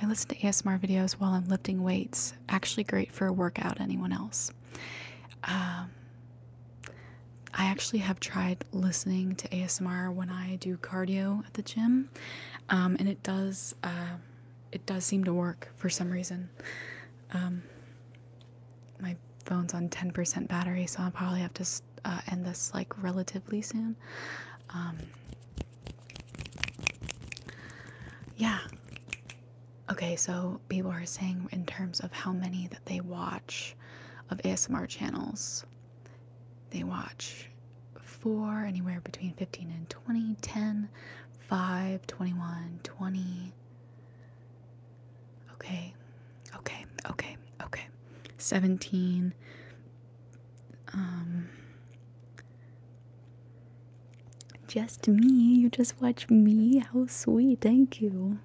I listen to ASMR videos while I'm lifting weights. Actually, great for a workout. Anyone else? Um, I actually have tried listening to ASMR when I do cardio at the gym, um, and it does uh, it does seem to work for some reason. Um, my phone's on 10% battery, so I'll probably have to uh, end this like relatively soon. Um, yeah. Okay, so people are saying in terms of how many that they watch of ASMR channels, they watch four, anywhere between 15 and 20, 10, 5, 21, 20, Okay, okay, okay, okay. 17. Um, just me. You just watch me. How sweet. Thank you.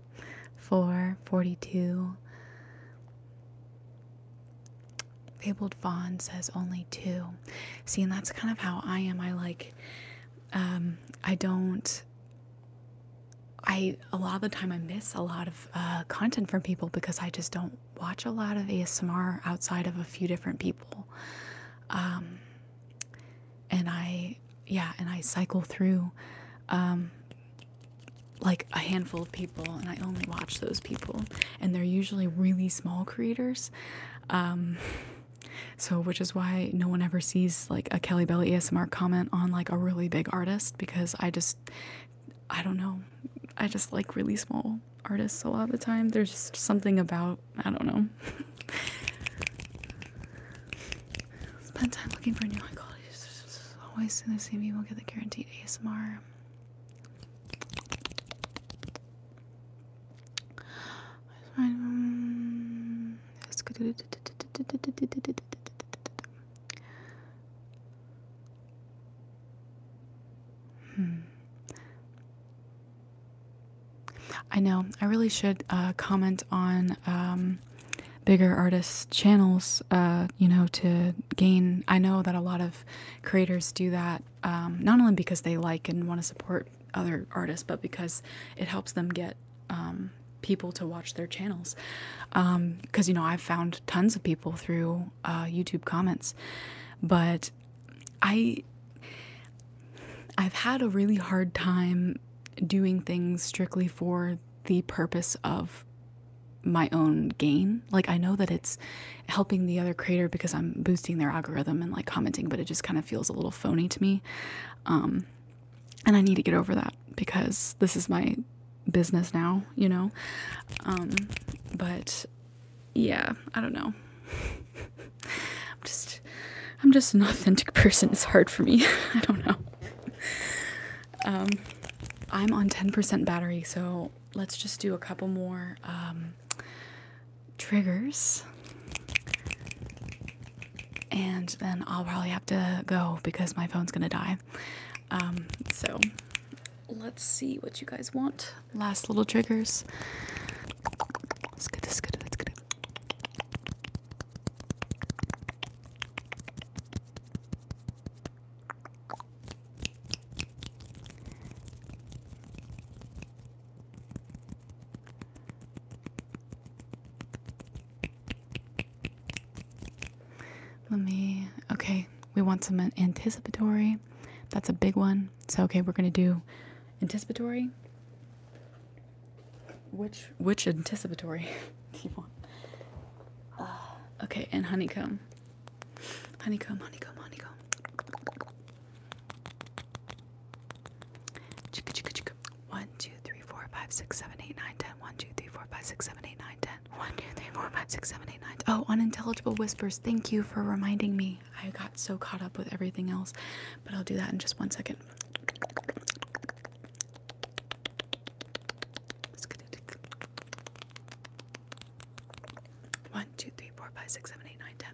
for 42. Fabled Fawn says only two. See, and that's kind of how I am. I like um, I don't. I a lot of the time I miss a lot of uh, content from people because I just don't watch a lot of ASMR outside of a few different people, um, and I yeah, and I cycle through um, like a handful of people, and I only watch those people, and they're usually really small creators. Um, (laughs) So, which is why no one ever sees like a Kelly Belly ASMR comment on like a really big artist because I just, I don't know, I just like really small artists a lot of the time. There's just something about, I don't know. (laughs) Spend time looking for new high quality. Always soon the same people get the guaranteed ASMR. Hmm. I know. I really should uh, comment on um, bigger artists' channels, uh, you know, to gain. I know that a lot of creators do that, um, not only because they like and want to support other artists, but because it helps them get um, people to watch their channels. Because, um, you know, I've found tons of people through uh, YouTube comments, but I. I've had a really hard time doing things strictly for the purpose of my own gain. Like I know that it's helping the other creator because I'm boosting their algorithm and like commenting, but it just kind of feels a little phony to me. Um, and I need to get over that because this is my business now, you know. Um, but yeah, I don't know. (laughs) I'm just, I'm just an (laughs) authentic person. It's hard for me. (laughs) I don't know. Um, I'm on 10% battery, so let's just do a couple more. Um, triggers. And then I'll probably have to go because my phone's gonna die. Um, so let's see what you guys want. Last little triggers. Let's get this good. Let's get let me, okay, we want some anticipatory. That's a big one. So, okay, we're going to do anticipatory. Which, which anticipatory (laughs) uh, okay, and honeycomb. Honeycomb, honeycomb, honeycomb. Chicka chicka chicka. 1, 2, 3, 4, 5, 6, 7, 8, 9, 10. 1, 2, 3, 4, 5, 6, 7, 8, 9, 10. 1, 2, 3, 4, 5, 6, 7, 8, 9. 10. Oh, unintelligible whispers. Thank you for reminding me. I got so caught up with everything else, but I'll do that in just one second. One, two, three, four, five, six, seven, eight, nine, ten.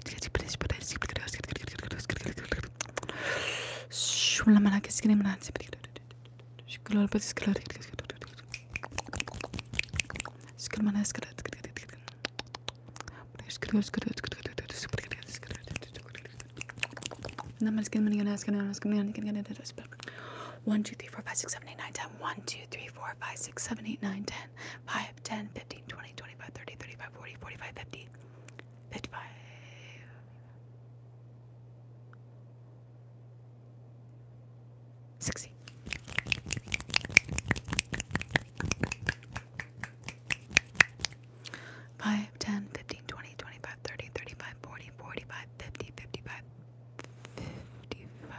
1, 2, 3, 4, 5, 6, 7, 8, 9, 10. 1, 2, 3, 4, 5, 6, 7, 8, 9, 10. 5, 10, 15, 20, 25, 30, 35, 40, 45, 50. 55 60 5 10 15 20 25 30 35 40 45 50 55 55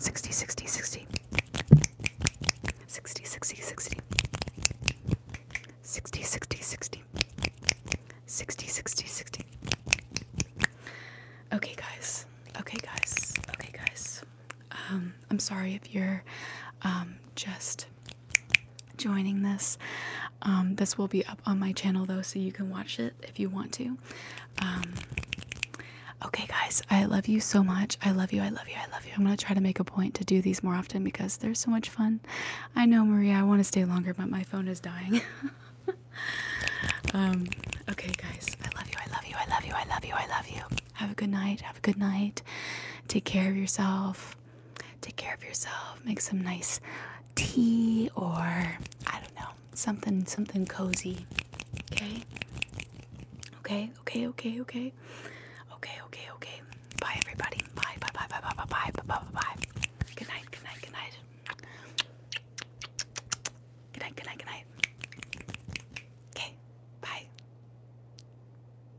Sixty, sixty, sixty. Sixty, sixty, sixty. Sixty, sixty, sixty. Sixty, sixty, sixty. Okay, guys. Okay, guys. Okay, guys. Um, I'm sorry if you're um, just joining this. Um, this will be up on my channel though, so you can watch it if you want to. Um, okay, guys, I love you so much. I love you. I love you. I love you. I'm gonna try to make a point to do these more often because they're so much fun. I know, Maria, I want to stay longer, but my phone is dying. (laughs) Um, okay, guys, I love you. I love you. I love you. I love you. I love you. Have a good night. Have a good night. Take care of yourself take care of yourself, make some nice tea or I don't know, something something cozy. Okay? Okay, okay, okay, okay. Okay, okay, okay. Bye everybody. Bye, bye, bye, bye, bye, bye, bye, bye, bye, bye. Good night, good night, good night. Good night, good night, good night. Okay, bye.